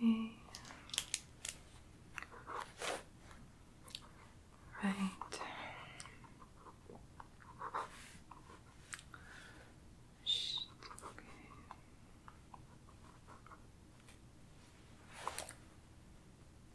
Hmm. Right.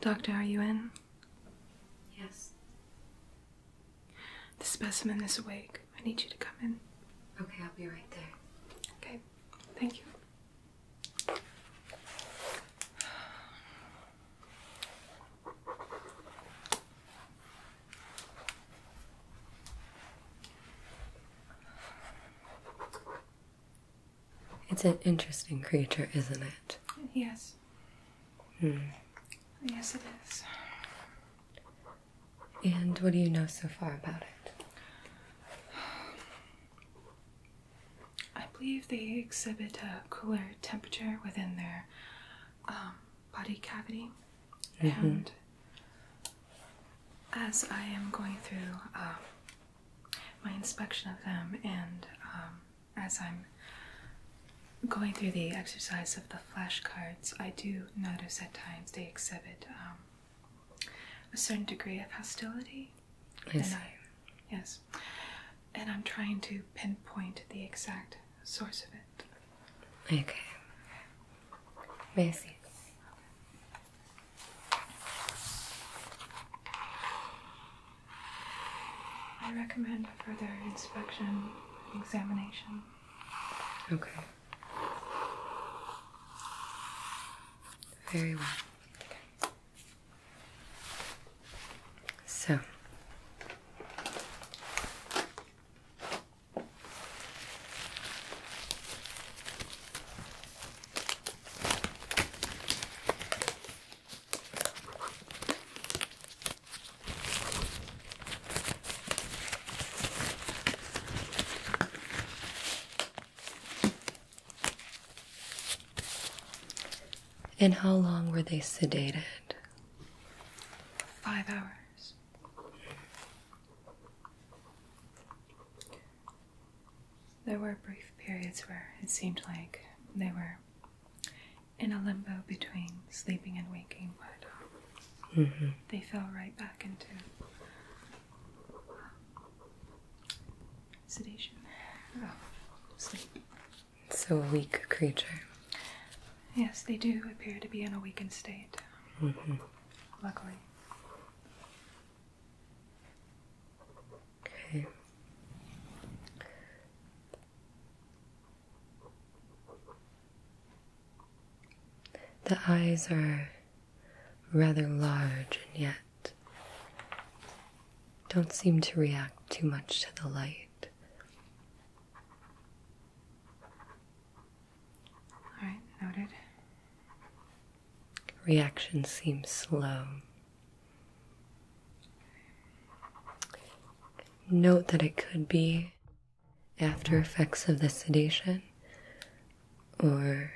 Doctor, are you in? Yes. The specimen is awake. I need you to come in. Okay, I'll be right there. Okay, thank you. It's an interesting creature, isn't it? Yes. Hmm. Yes, it is. And what do you know so far about it? I believe they exhibit a cooler temperature within their um, body cavity. Mm-hmm. And as I am going through uh, my inspection of them and um, as I'm going through the exercise of the flashcards, I do notice at times they exhibit um, a certain degree of hostility. Yes. And I, yes. And I'm trying to pinpoint the exact source of it. Okay. May I see? I recommend further inspection and examination. Okay. Very well. So. And how long were they sedated? Five hours. There were brief periods where it seemed like they were in a limbo between sleeping and waking, but um, mm-hmm. they fell right back into um, sedation. sleep. So a weak creature. Yes, they do appear to be in a weakened state. Mm-hmm. Luckily. The eyes are rather large and yet don't seem to react too much to the light. All right, noted. Reaction seems slow. Note that it could be after effects of the sedation or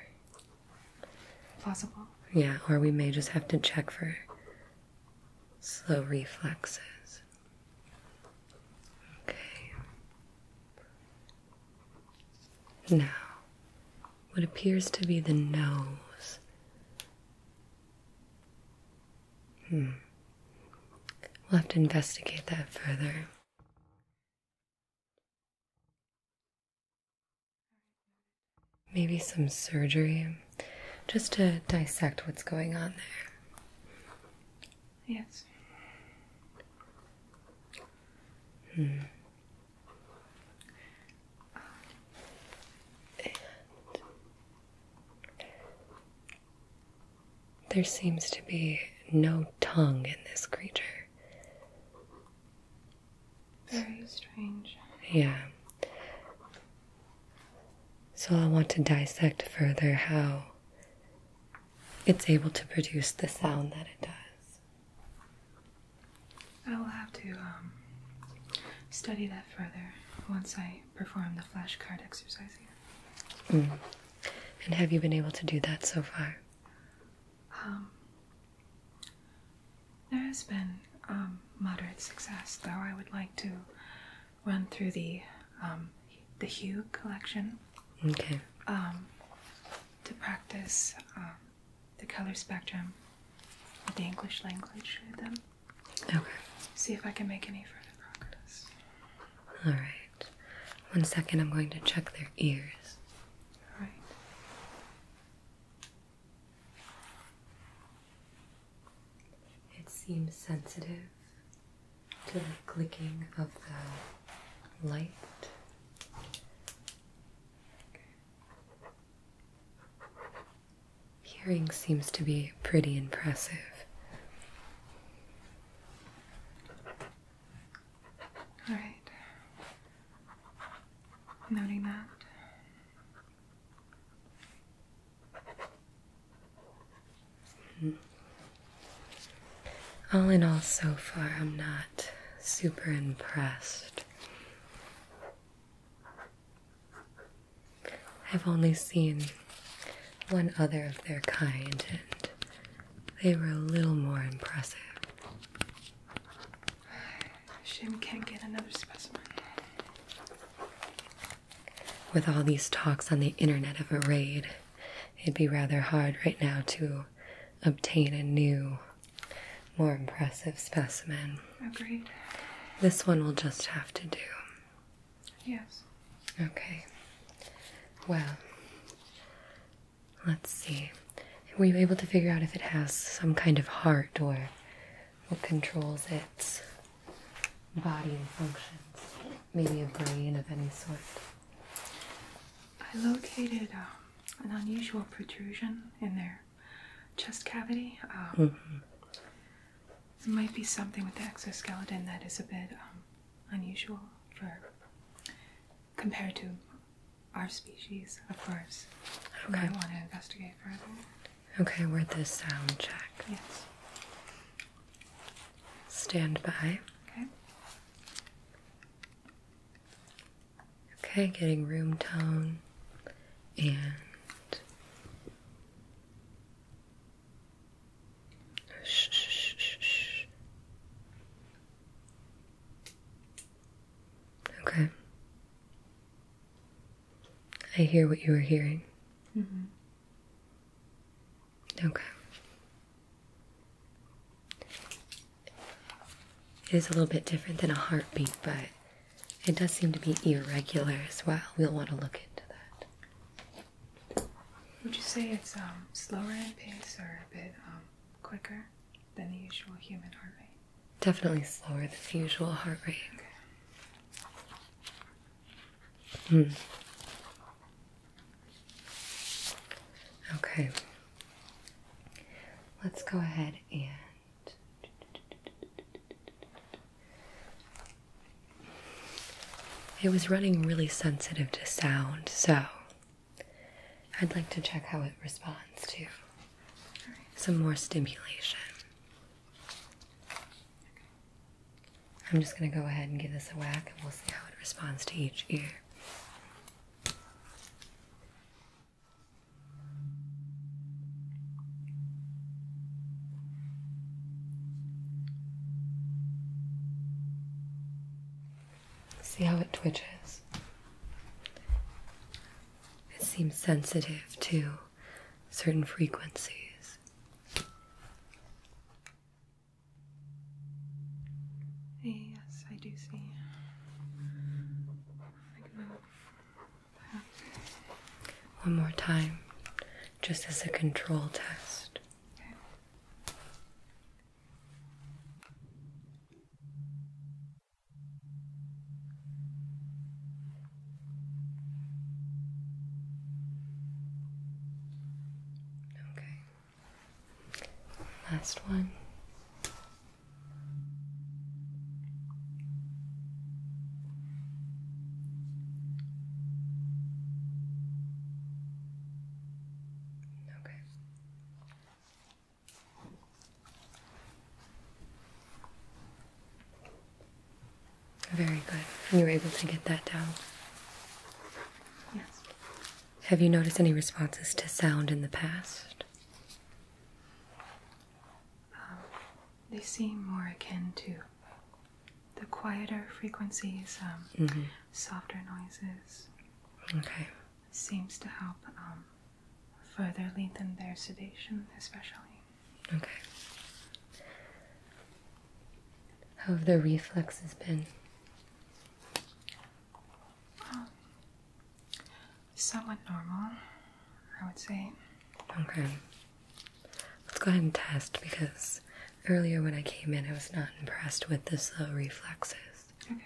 plausible. Yeah, or we may just have to check for slow reflexes. Okay. Now, what appears to be the nose Hmm. We'll have to investigate that further. Maybe some surgery just to dissect what's going on there. Yes. Hmm there seems to be no tongue in this creature. Very strange. Yeah. So I want to dissect further how it's able to produce the sound that it does. I will have to um, study that further once I perform the flashcard exercise here. Mm. And have you been able to do that so far? Um, there has been um, moderate success, though I would like to run through the um, the Hue collection. Okay. Um, to practice um, the color spectrum of the English language them. Okay. See if I can make any further progress. All right. One second, I'm going to check their ears. All right. It seems sensitive to the clicking of the light. Hearing seems to be pretty impressive. All right. Noting that. All in all, so far, I'm not super impressed. I've only seen one other of their kind, and they were a little more impressive. Shim can't get another specimen. With all these talks on the internet of a raid, it'd be rather hard right now to obtain a new more impressive specimen. Agreed. This one will just have to do. Yes. Okay. Well, let's see. Were you able to figure out if it has some kind of heart or what controls its body and functions? Maybe a brain of any sort? I located um, an unusual protrusion in there chest cavity. It oh. mm-hmm. might be something with the exoskeleton that is a bit um, unusual for compared to our species, of course. Okay. I want to investigate further. Okay, worth this sound check. Yes. Stand by. Okay. Okay, getting room tone and shh, shh, shh, shh. Okay. I hear what you are hearing. -hmm. Okay. It is a little bit different than a heartbeat, but it does seem to be irregular as well. We'll want to look into that. Would you say it's um, slower in pace or a bit um, quicker than the usual human heart rate? Definitely slower than the usual heart rate. Hmm. Okay. Let's go ahead and it was running really sensitive to sound, so I'd like to check how it responds to some more stimulation. I'm just going to go ahead and give this a whack and we'll see how it responds to each ear. See how it twitches? It seems sensitive to certain frequencies. Yes, I do see. One more time, just as a control test. Okay. Last one. Okay. Very good. you were able to get that down? Yes. Have you noticed any responses to sound in the past? Um, they seem more akin to the quieter frequencies, um, mm-hmm. softer noises. Okay. Seems to help um, further lengthen their sedation, especially. Okay. How have the reflexes been? Somewhat normal, I would say. Okay. Let's go ahead and test because earlier when I came in, I was not impressed with the slow reflexes. Okay.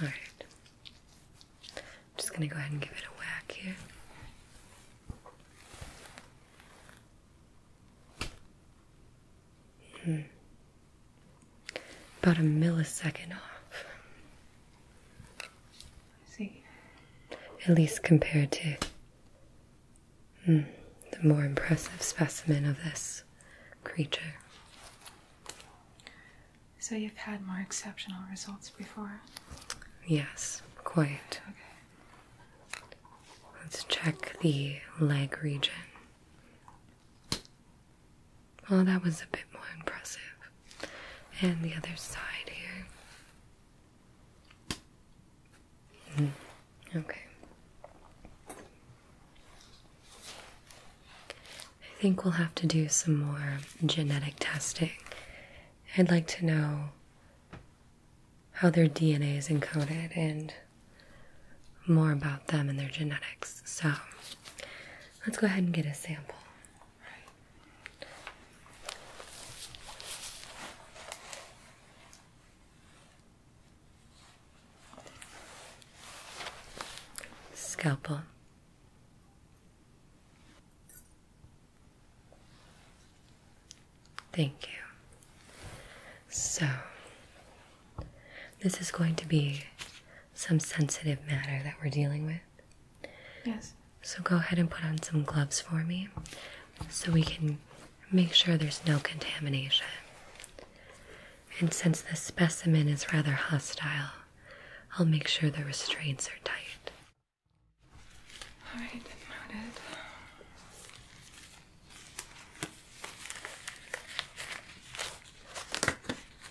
Alright. I'm just gonna go ahead and give it a whack here. -hmm about a millisecond off. see. At least compared to hmm, the more impressive specimen of this creature. So you've had more exceptional results before? Yes, quite. Okay. Let's check the leg region. Well, that was a bit more impressive. And the other side here. Hmm. Okay. I think we'll have to do some more genetic testing. I'd like to know how their DNA is encoded and more about them and their genetics. So let's go ahead and get a sample. Scalpel. Thank you. So, this is going to be some sensitive matter that we're dealing with. Yes. So go ahead and put on some gloves for me so we can make sure there's no contamination. And since this specimen is rather hostile, I'll make sure the restraints are tight. All right, noted.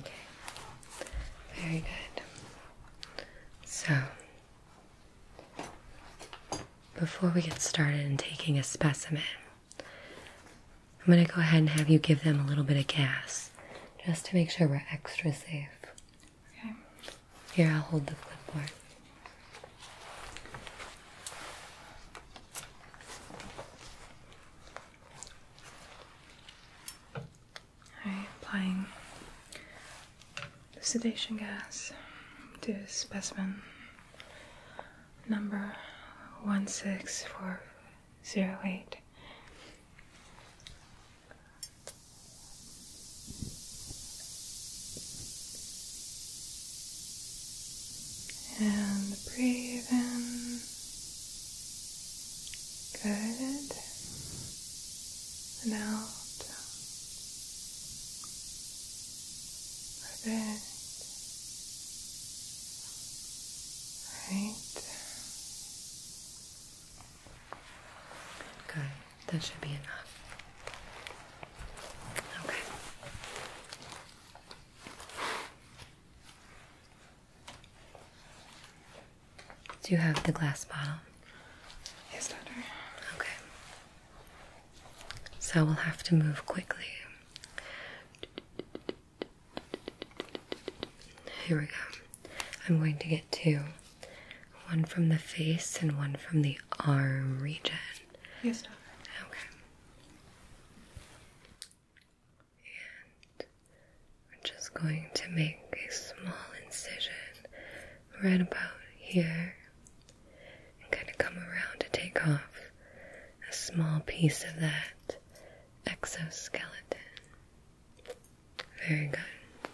Okay. Very good. So, before we get started in taking a specimen, I'm going to go ahead and have you give them a little bit of gas just to make sure we're extra safe. Okay. Here, I'll hold the clipboard. Alright, applying the sedation gas to specimen number 16408. And breathe in. Good. And out. Perfect. Right. Good. That should be enough. Okay. Do you have the glass bottle? Yes, daughter. Okay. So we'll have to move quickly. Here we go. I'm going to get two one from the face and one from the arm region. Yes, doctor. Okay. And we're just going to make a small incision right about here and kind of come around to take off a small piece of that exoskeleton. Very good.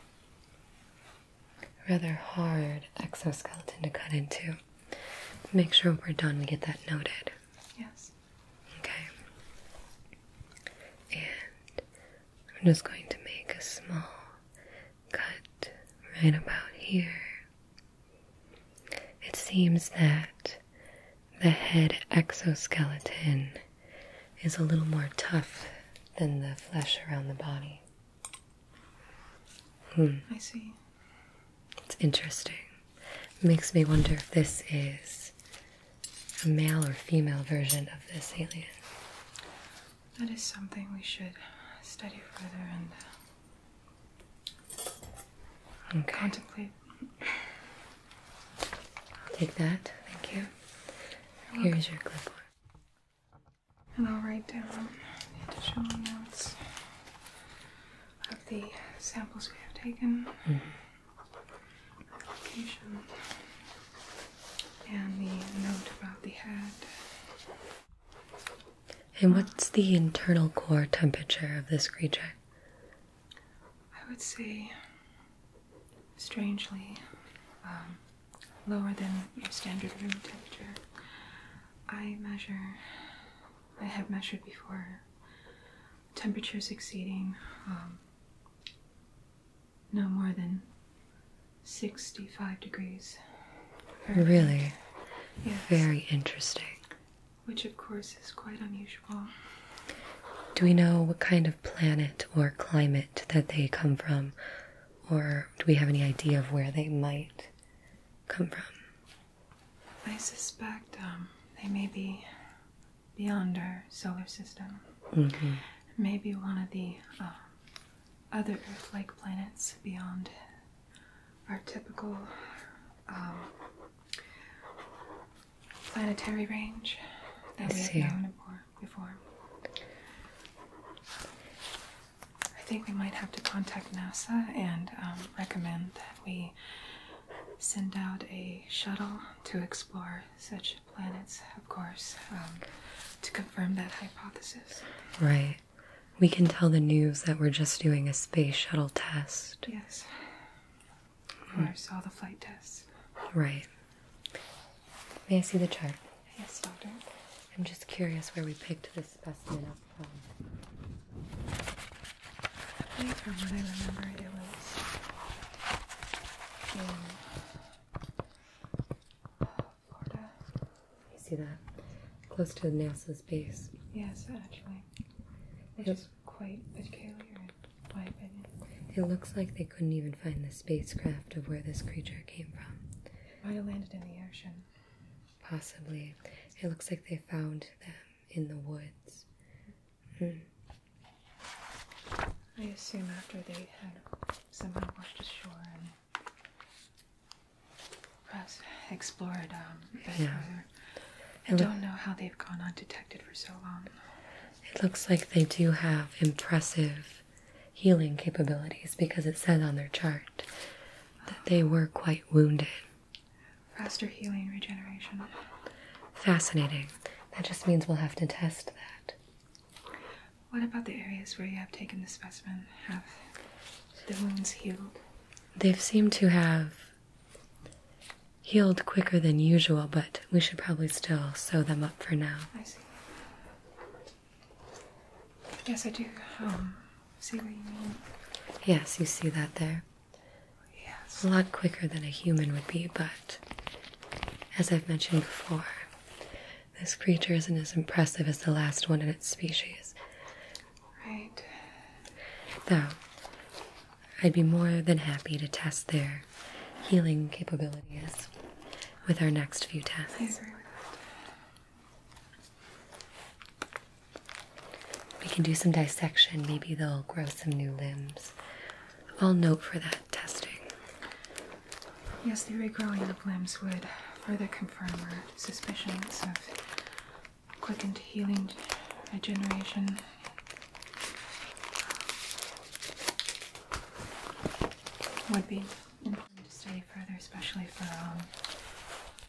Rather hard exoskeleton to cut into. Make sure we're done, we get that noted. Yes. Okay. And I'm just going to make a small cut right about here. It seems that the head exoskeleton is a little more tough than the flesh around the body. Hmm. I see. It's interesting. Makes me wonder if this is a male or female version of this alien. That is something we should study further and uh, contemplate. I'll take that. Thank you. Here's your clipboard. And I'll write down additional notes of the samples we have taken, mm -hmm. and the note about the head. And what's the internal core temperature of this creature? I would say, strangely, um, lower than your standard room temperature. I measure I have measured before. Temperatures exceeding um, no more than 65 degrees. Really? Yes. Very interesting. Which, of course, is quite unusual. Do we know what kind of planet or climate that they come from? Or do we have any idea of where they might come from? I suspect um, they may be beyond our solar system. Mm-hmm. Maybe one of the um, other Earth like planets beyond our typical um, planetary range that we have known before. I think we might have to contact NASA and recommend that we send out a shuttle to explore such planets, of course, um, to confirm that hypothesis. Right. We can tell the news that we're just doing a space shuttle test. Yes. Of hmm. course, all the flight tests. Right. May I see the chart? Yes, doctor. I'm just curious where we picked this specimen up I think from what I remember, it was in Florida. You see that? Close to NASA's base. Yes, actually. Which quite peculiar in my opinion. It looks like they couldn't even find the spacecraft of where this creature came from. It might have landed in the ocean. Possibly. It looks like they found them in the woods. Hmm. I assume after they had somehow washed ashore and explored um, I don't know how they've gone undetected for so long. It looks like they do have impressive healing capabilities because it says on their chart that they were quite wounded. Faster healing regeneration. Fascinating. That just means we'll have to test that. What about the areas where you have taken the specimen? Have the wounds healed? They've seemed to have healed quicker than usual, but we should probably still sew them up for now. I see. Yes, I do um, see what you mean. Yes, you see that there. Yes. A lot quicker than a human would be, but as I've mentioned before, this creature isn't as impressive as the last one in its species. Right. Though, I'd be more than happy to test their healing capabilities with our next few tests. We can do some dissection. Maybe they'll grow some new limbs. I'll note for that testing. Yes, the regrowing of limbs would further confirm our suspicions of quickened healing regeneration. Would be important to study further, especially for um,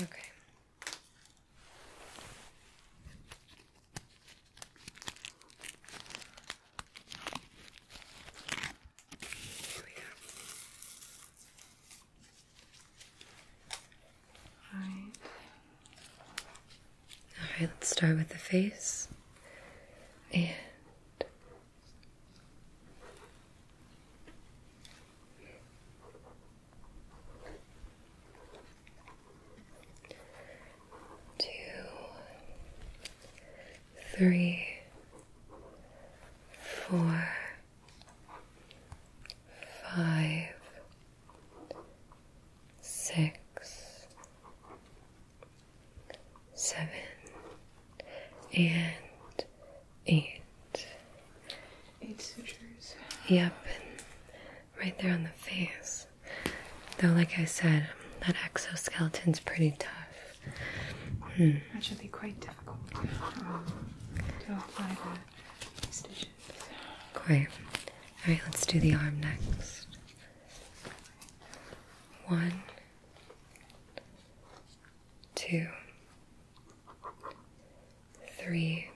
Okay. Here we go. All right. All right, let's start with the face and Two, three, four, five, six, seven, and eight. Eight sutures. Yep, and right there on the face. Though, like I said, that exoskeleton's pretty tough. Hmm. That should be quite difficult um, to apply the stitches. Quite. Alright, let's do the arm next. One, two, three,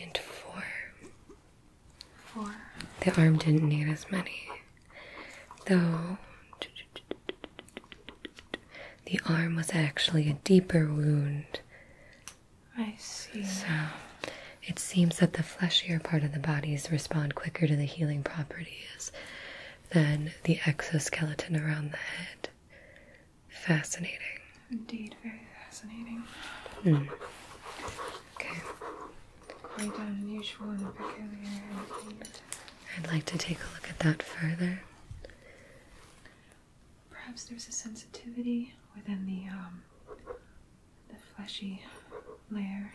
and four. Four. The arm didn't need as many, though the arm was actually a deeper wound. I see. So it seems that the fleshier part of the bodies respond quicker to the healing properties than the exoskeleton around the head. Fascinating. Indeed, very fascinating. Mm. Okay. Quite unusual and peculiar I'd like to take a look at that further. Perhaps there's a sensitivity within the um, the fleshy layer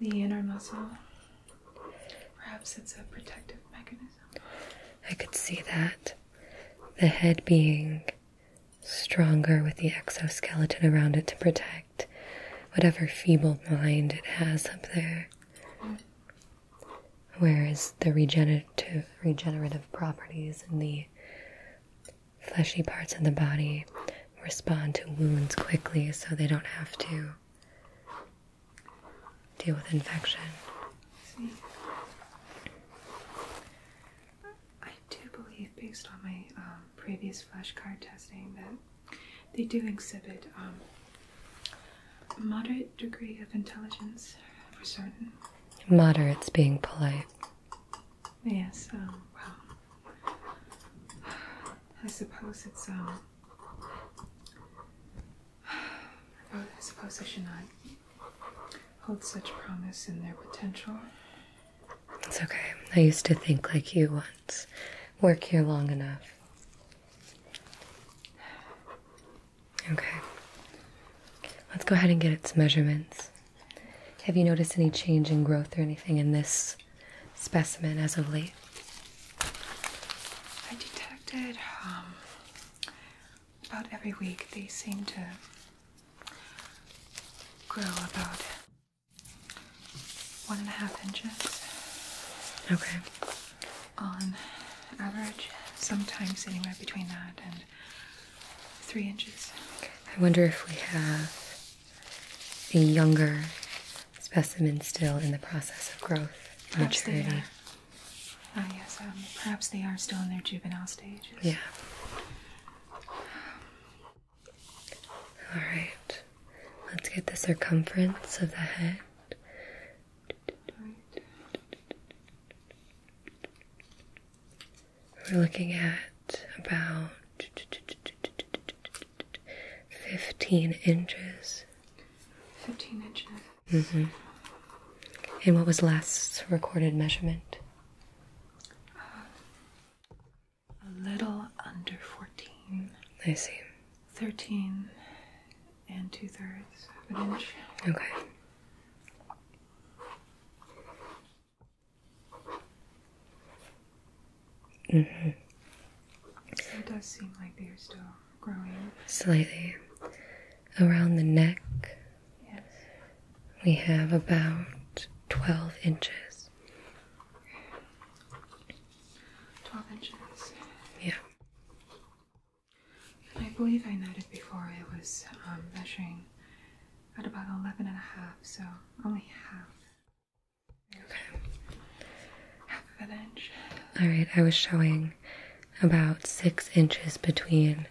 the inner muscle. Perhaps it's a protective mechanism. I could see that. The head being stronger with the exoskeleton around it to protect whatever feeble mind it has up there. Whereas the regenerative, regenerative properties in the fleshy parts of the body respond to wounds quickly so they don't have to deal with infection. I do believe, based on my um, previous flashcard testing, that they do exhibit a um, moderate degree of intelligence for certain. Moderate's being polite. Yes, um, well, I suppose it's um. I suppose I should not hold such promise in their potential. It's okay. I used to think like you once. Work here long enough. Okay. Let's go ahead and get its measurements. Have you noticed any change in growth or anything in this specimen as of late? I detected um, about every week they seem to grow about one and a half inches. Okay. On average, sometimes anywhere between that and three inches. I wonder if we have a younger specimen still in the process of growth and perhaps Ah, yes, um, perhaps they are still in their juvenile stages. Yeah. All right, let's get the circumference of the head. We're looking at about 15 inches. 15 inches. Mm -hmm. And what was last recorded measurement? a little under 14. I see. 13 and two thirds of an inch. Okay it does seem like they are still growing. Slightly. Around the neck, yes. we have about 12 inches. 12 inches? Yeah. I believe I noted before it was um, measuring at about 11 and a half, so only half. Okay. Half of an inch. Alright, I was showing about six inches between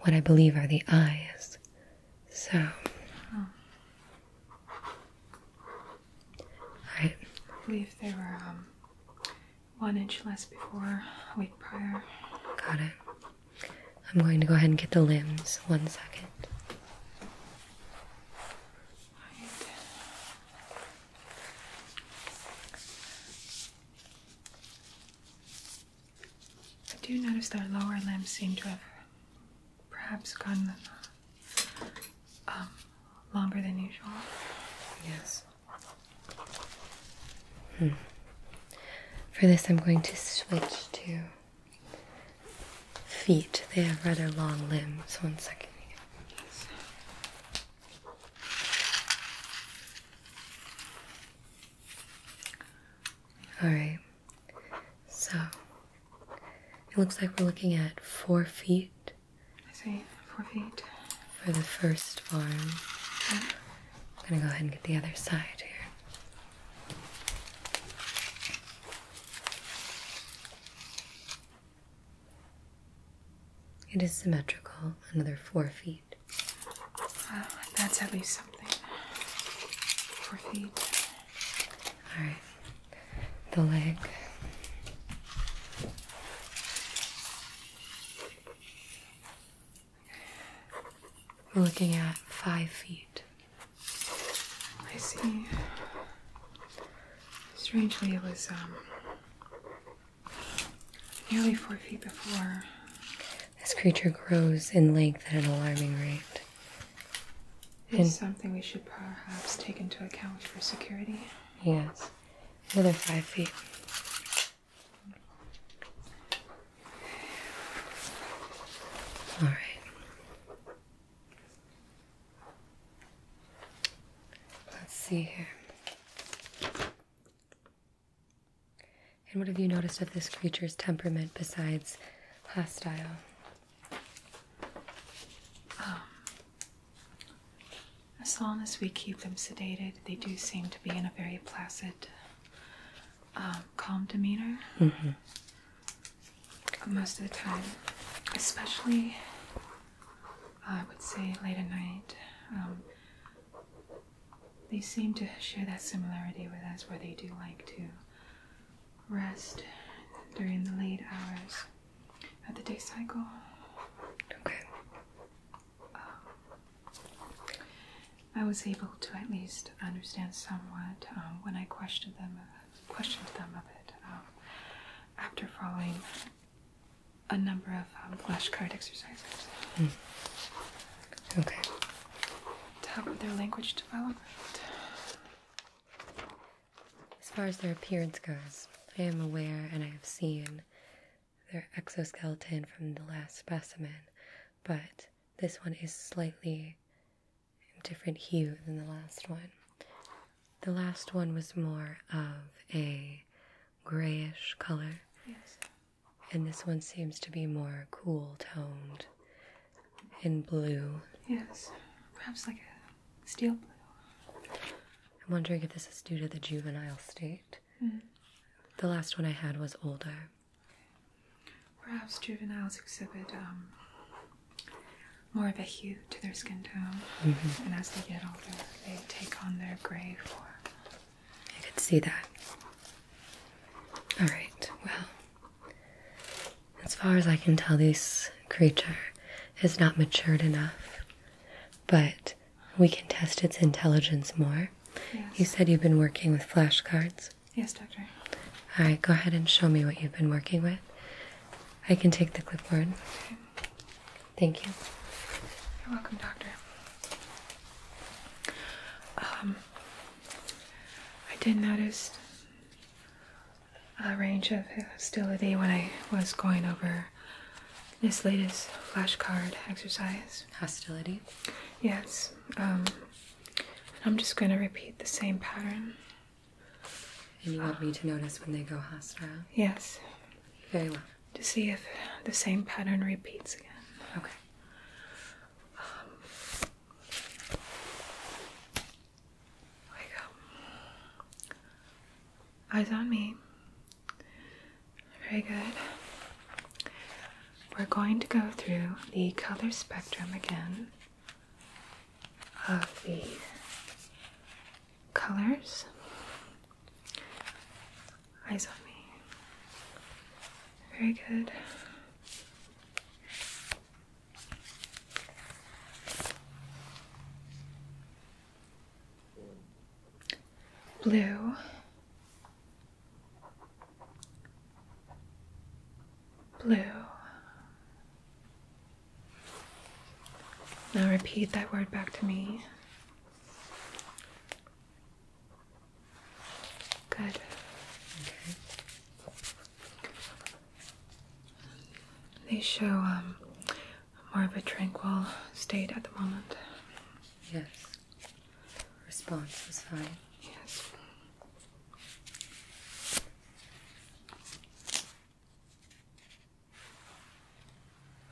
what I believe are the eyes. So. Alright. I believe they were um, one inch less before, a week prior. Got it. I'm going to go ahead and get the limbs. One second. I do notice their lower limbs seem to have perhaps gone um, longer than usual. Yes. Hmm. For this, I'm going to switch to feet. They have rather long limbs. One second. All right. So it looks like we're looking at four feet. I see, four feet. For the first farm. I'm gonna go ahead and get the other side here. It is symmetrical, another four feet. that's at least something. Four feet. Alright, the leg. We're looking at five feet. I see. Strangely, it was um, nearly four feet before. This creature grows in length at an alarming rate. Is something we should perhaps take into account for security. Yes, another five feet. All right. Let's see here. And what have you noticed of this creature's temperament besides hostile? Um, as long as we keep them sedated, they do seem to be in a very placid, um, calm demeanor. Mm-hmm most of the time, especially I would say late at night. Um, they seem to share that similarity with us where they do like to rest during the late hours of the day cycle. Okay. Um, I was able to at least understand somewhat um, when I questioned them uh, questioned them a bit um, after following a number of um, flashcard exercises. Hmm. Okay. To help with their language development. As far as their appearance goes, I am aware and I have seen their exoskeleton from the last specimen, but this one is slightly different hue than the last one. The last one was more of a grayish color. And this one seems to be more cool toned in blue. Yes. Perhaps like a steel blue. I'm wondering if this is due to the juvenile state. Mm-hmm. The last one I had was older. Perhaps juveniles exhibit um, more of a hue to their skin tone, mm-hmm. and as they get older, they take on their gray form. I could see that. All right, well, as far as I can tell, this creature is not matured enough, but we can test its intelligence more. You said you've been working with flashcards. Yes, doctor. All right, go ahead and show me what you've been working with. I can take the clipboard. Okay. Thank you. You're welcome, doctor. Um, I did notice a range of hostility when I was going over this latest flashcard exercise. Hostility? Yes. Um, I'm just going to repeat the same pattern. And you want me to notice when they go hostile? Yes. Very well. To see if the same pattern repeats again. Okay. Um, wake up. Eyes on me. Very good. We're going to go through the color spectrum again of the colors. Eyes on me. Very good. Blue, blue. Now repeat that word back to me. Good. Okay. They show um, more of a tranquil state at the moment. Yes. Response was fine. Yes.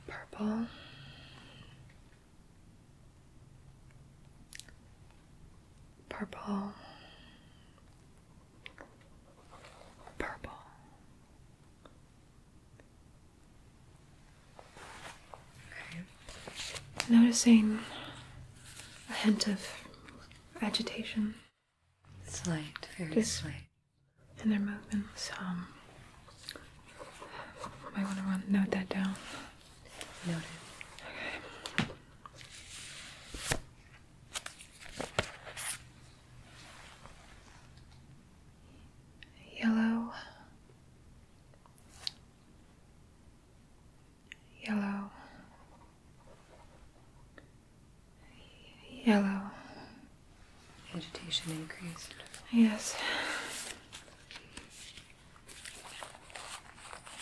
Purple. Purple. Purple. Okay. Noticing a hint of agitation. Slight, very slight. and their movements. Um, I want to run, note that down. Noted. Okay. Yellow yellow, yellow. Agitation increased. Yes.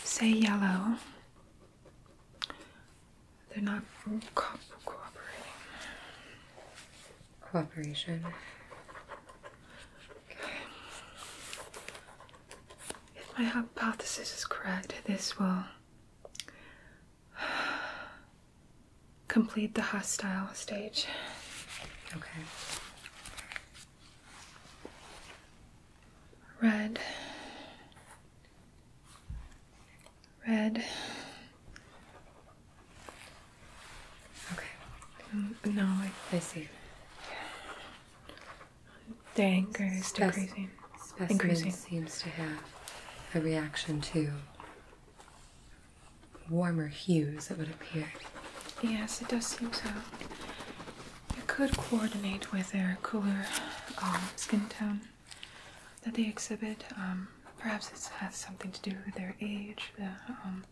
Say yellow. They're not co cooperating. Cooperation. If my hypothesis is correct, this will complete the hostile stage. Okay. Red. Red. Okay. Mm, no, I, I see. The anger is Spec decreasing. Specimen seems to have a reaction to warmer hues, it would appear. Yes, it does seem so. It could coordinate with their cooler um, skin tone that they exhibit. Um, perhaps it has something to do with their age, the um,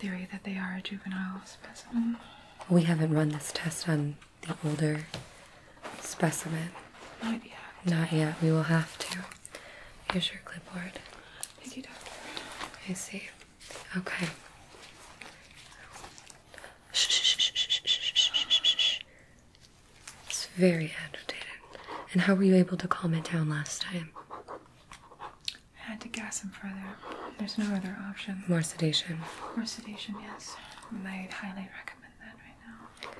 theory that they are a juvenile specimen. We haven't run this test on the older specimen. Not yet. We will have to. Here's your clipboard. Thank you, doctor. I see. Okay. Shh, shh, shh, shh, shh, shh, shh. It's very agitated. And how were you able to calm it down last time? I had to gas him further. There's no other option. More sedation. More sedation, yes. i highly recommend that right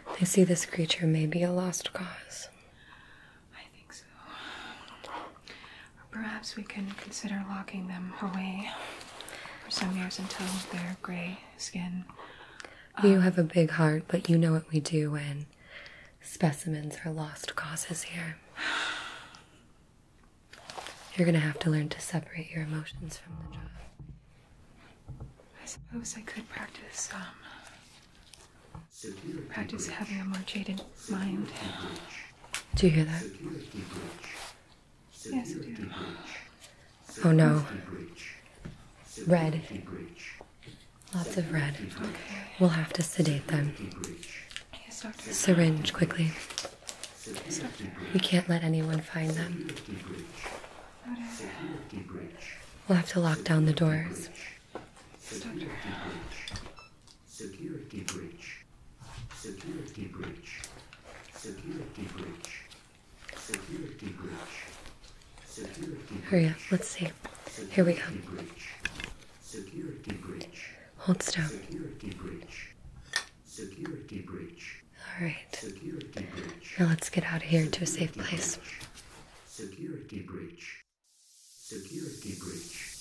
now. I see this creature may be a lost cause. I think so. perhaps we can consider locking them away for some years until their gray skin. You um, have a big heart, but you know what we do when specimens are lost causes here. You're gonna have to learn to separate your emotions from the job. I suppose I could practice, um, practice having a more jaded mind. Do you hear that? Yes, I do. Oh no. Red. Lots of red. We'll have to sedate them. Yes, doctor. Syringe quickly. So we can't let anyone find them. We'll have to lock down the doors. Security breach. Security breach. Security breach. Security breach. Security breach. Hurry up, let's see. Here we go. Security breach. Hold still. Security breach. Security breach. All right. Security breach. Now let's get out of here to a safe place. Breach. Security breach. Security breach.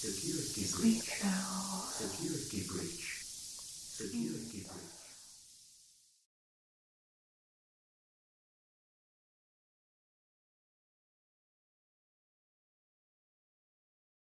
Security breach. Security breach. Security breach.